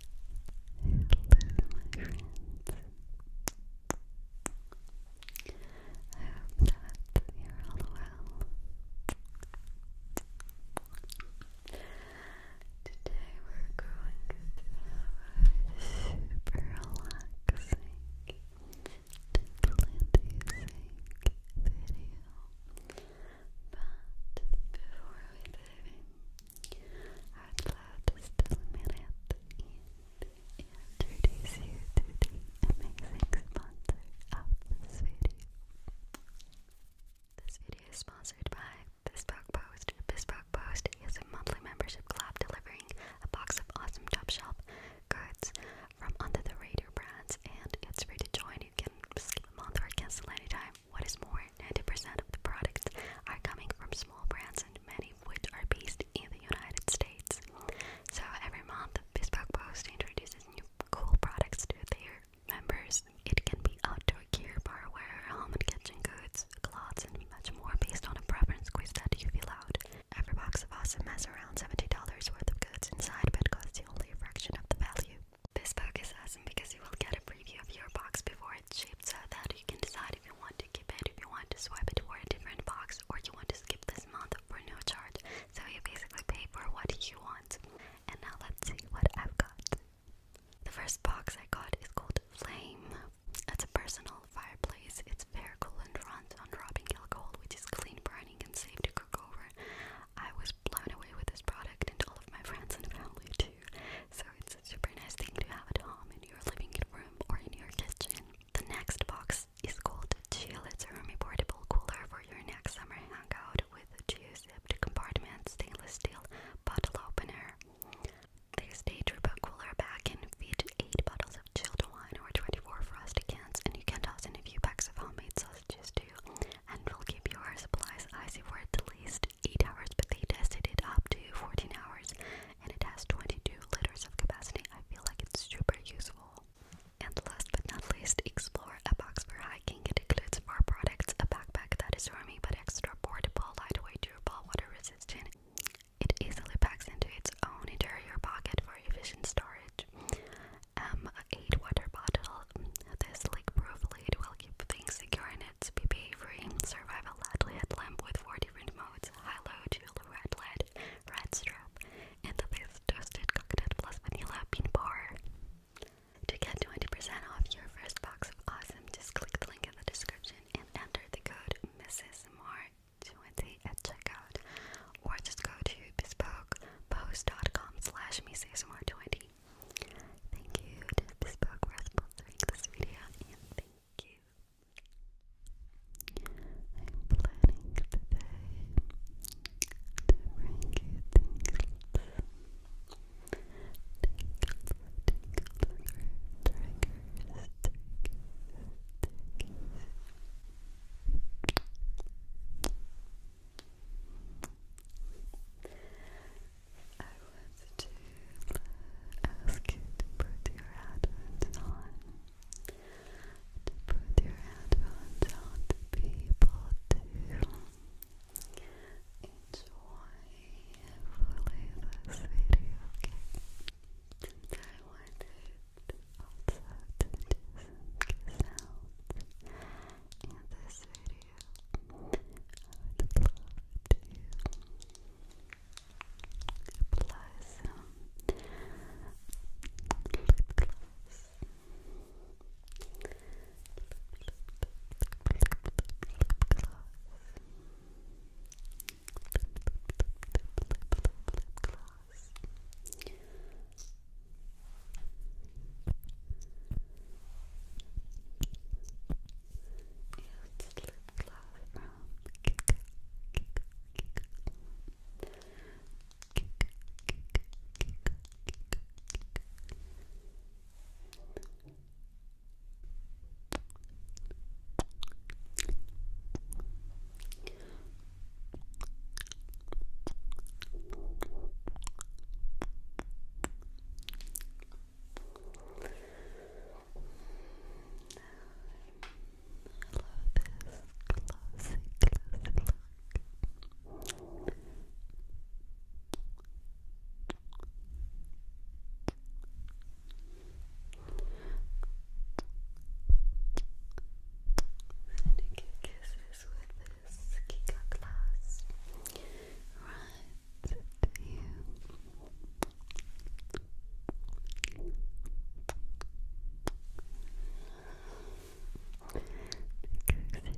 Hello, my friends. I hope that you're all well. Today we're going to have a super relaxing and inducing video. But before we dive out loud is still a minute, you to the amazing sponsor of this video. This video is sponsored by Bespoke Post. Bespoke Post is a monthly membership club delivering a box of awesome top shop goods from under the radar brands, and it's free to join. You can skip a month or cancel anytime. What is more, 90% of the products are coming from small brands and many of which are based in the United States. So every month, Bespoke Post introduces new cool products to their members. It can be outdoor gear, barware, home and kitchen goods, clothes, and much more based on a preference quiz that you fill out. Every box of Awesome has around $70 worth of goods inside but costs you only a fraction of the value. This book is awesome because you will get a preview of your box before it's shipped so that you can decide if you want to keep it, if you want to swipe it for a different box, or you want to skip this month for no charge. So you basically pay for what you want. And now let's see what I've got. The first box I got is called Flame. It's a personal fireplace. It's very cool and runs on dropping alcohol, which is clean burning and safe to cook over. I was blown away with this product and all of my friends and family too. So super nice thing to have at home in your living room or in your kitchen. The next box is called Chill. It's a roomy portable cooler for your next summer hangout with two zipped compartments, stainless steel bottle opener. This Daydrip cooler bag can fit 8 bottles of chilled wine or 24 frosty cans, and you can toss in a few packs of homemade sausages too, and we will keep your supplies icy for at least 8 hours, but they tested it up to 14 hours and it has 22 liters of capacity. I feel like it's super useful. And last but not least, explore a box for hiking. It includes four products, a backpack that is roomy but extra portable, lightweight, durable, water resistant. It easily packs into its own interior pocket for efficient storage. Um, a 8 water bottle. This leak-proof lid will keep things secure in it units, BPA free, survival LED LED lamp with four different modes, high-low, jewel, red LED, red strip, and this toasted coconut plus vanilla bean bar. To get 20% off your first box of awesome, just click the link in the description and enter the code MrsMore20 at checkout, or just go to bespokepost.com slash MrsMore20 Thank you Bespoke for sponsoring this video, and thank you. I'm planning to bring you things. Tickles, tickles, triggers, tickles, tickles. I want to ask you to put your headphones on. To put your headphones on to be able to enjoy fully this video, okay? I wanted to do some sounds in this video apply some lip gloss. Lip gloss. It's lip from glossy, glossy look. And you get kisses with this Kika glass right you. Because you deserve it. You're being so kind to me.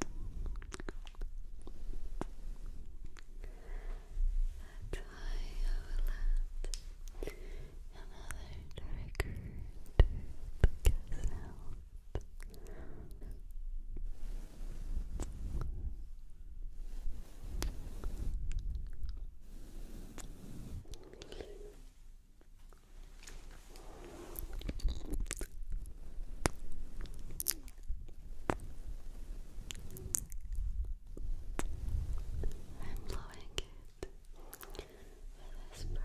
That's why I will another trigger to the kiss I'm blowing it with this brush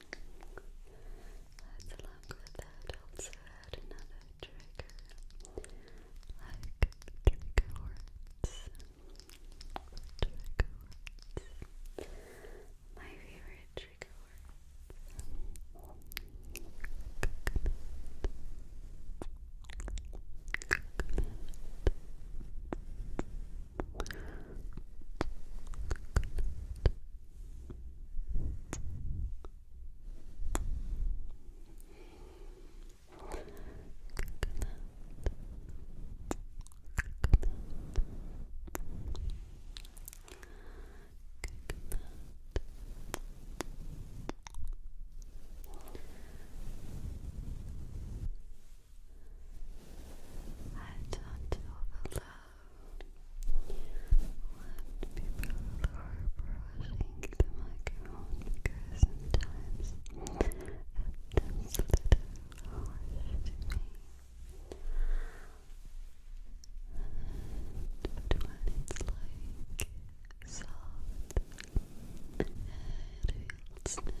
Let's along with that also add another trigger, like trigger words, trigger words, my favorite trigger words. I don't overload let people are brushing the microphone because sometimes it a little harsh to me. And, when it's like soft, it feels nice.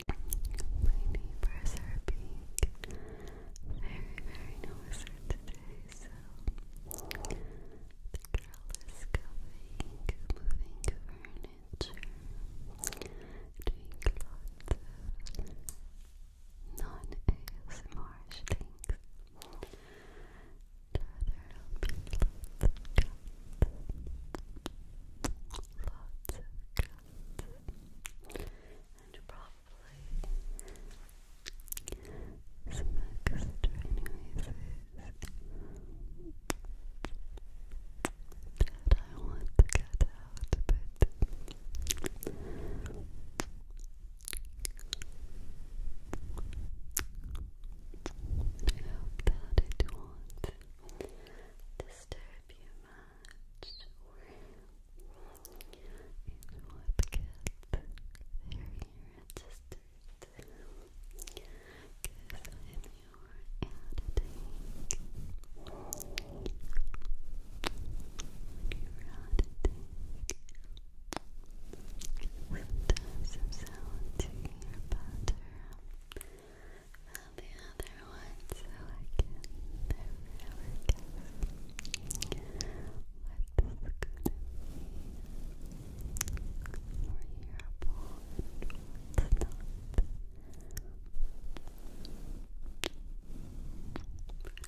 My neighbors are very, very noisy today, so the girl is coming, moving furniture, doing lots of non-ASMR things. there'll be lots lots of and probably some extra noises that I want to get out, but that it won't disturb you much or it would get very registered because I'm your editing you're editing sometimes I'm sound to hear better the other one so I can never guess what this could be more hearable and what's not.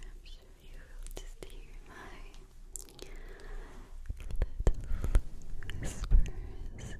I'm sure you will just hear my little whispers.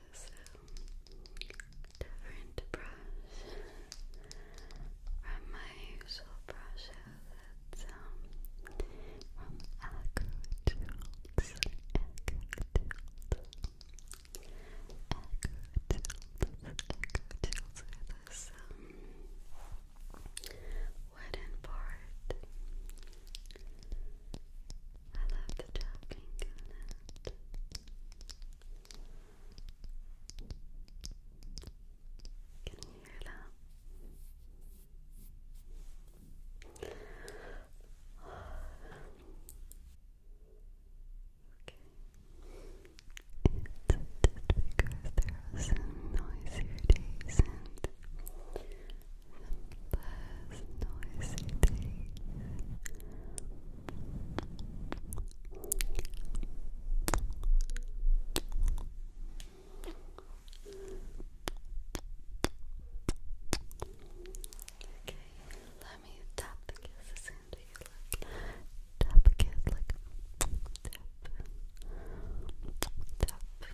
So, different brush from my usual brush that's um, from Acro Tools. Acro Tools. Acro Tools. are this um, wooden board. I love the tapping Can you hear that? It's just because there are some noisier days and less Okay, let me tap the kisses into you, look. Tap a kiss, like tap, tap, tap, tap.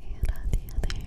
and on the other. Good.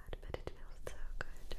bad, but it feels so good, right?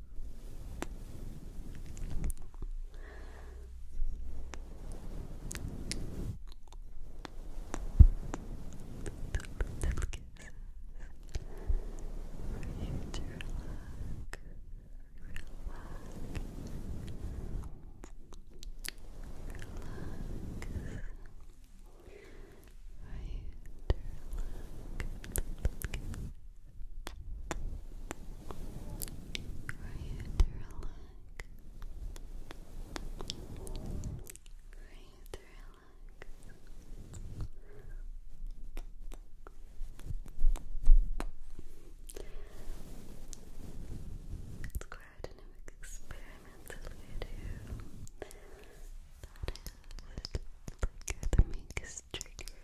Little kisses for you to relax, relax, relax. For you to relax, for you to relax. For you to relax. It's quite an experimental the makes trigger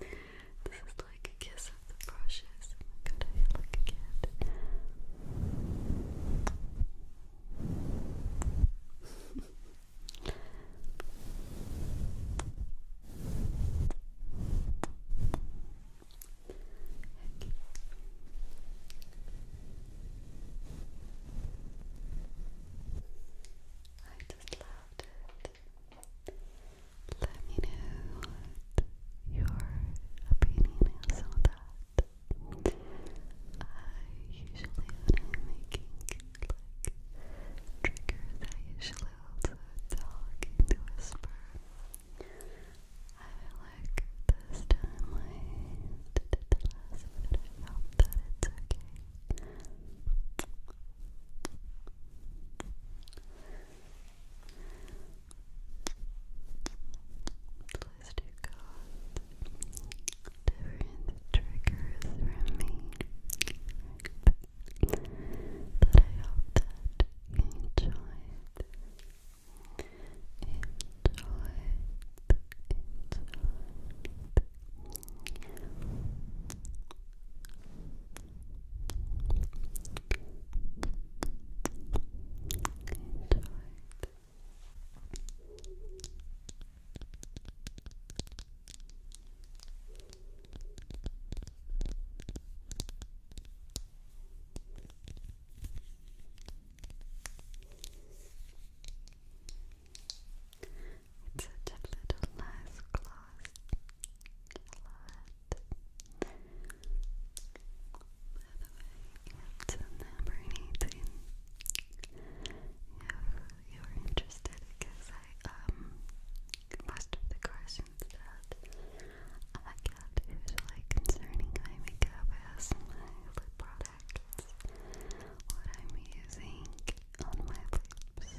This is like a kiss of the brushes. Oh my I just loved it. Let me know your opinion on that. I usually, when I'm making like triggers, I usually also talk into whisper. I feel like this time I did it last minute. I hope that it's okay. Blister got different triggers from me but I hope that you enjoyed enjoyed it's such a little nice glass it's number 18. If you're interested, because I, um, most the questions that I get usually concerning my makeup is my lip products, what I'm using on my lips.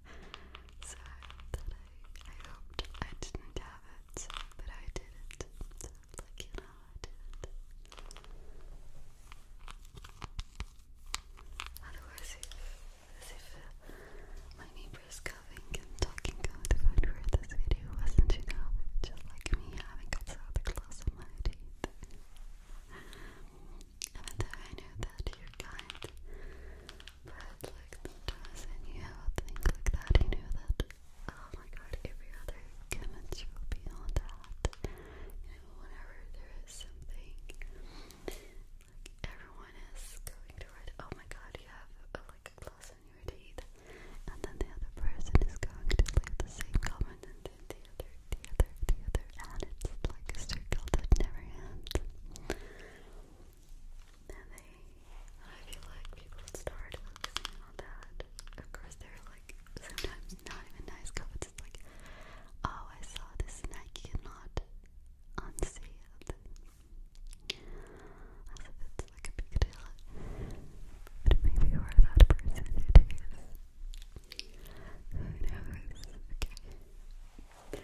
so that I, I hoped I didn't have it, but I did it, like, you know, I did otherwise as if uh, my neighbors coming and talking about the food where this video wasn't enough, just like me having got so the close on my teeth even I know that you're kind but like doesn't you have a thing like that, you know that oh my god, every other chemistry will be on that. whenever there is something like everyone is going to write oh my god, you have uh, like a gloss on your teeth and then the other person is going to leave the same comment and then the other the other the other and it's like a circle that never ends. And they, I feel like people start on that. Of they're like sometimes not even nice comments. like, oh, I saw this and I cannot unsee it. it's like a big deal. But maybe you are that person it is. Who knows? Okay.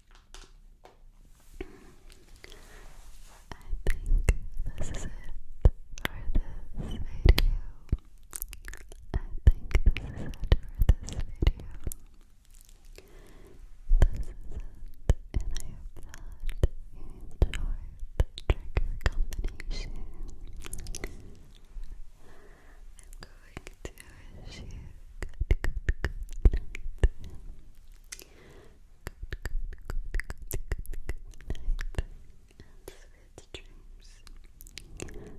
think this is it for this video. I think this is it for this video. This is it, and I hope that you enjoyed the trigger combination. I'm going to wish you good, good, good night sweet dreams. Sweet dreams. Sweet dreams. Sweet dreams.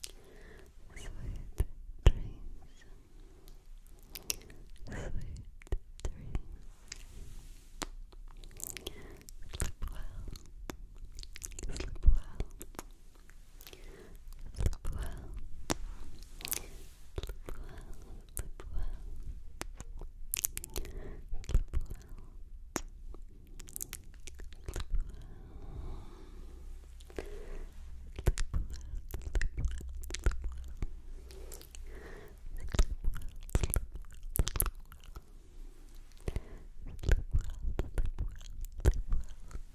Sleep well. Sleep well. Sleep well. Sleep well. Sleep well. Sleep well. Sleep well.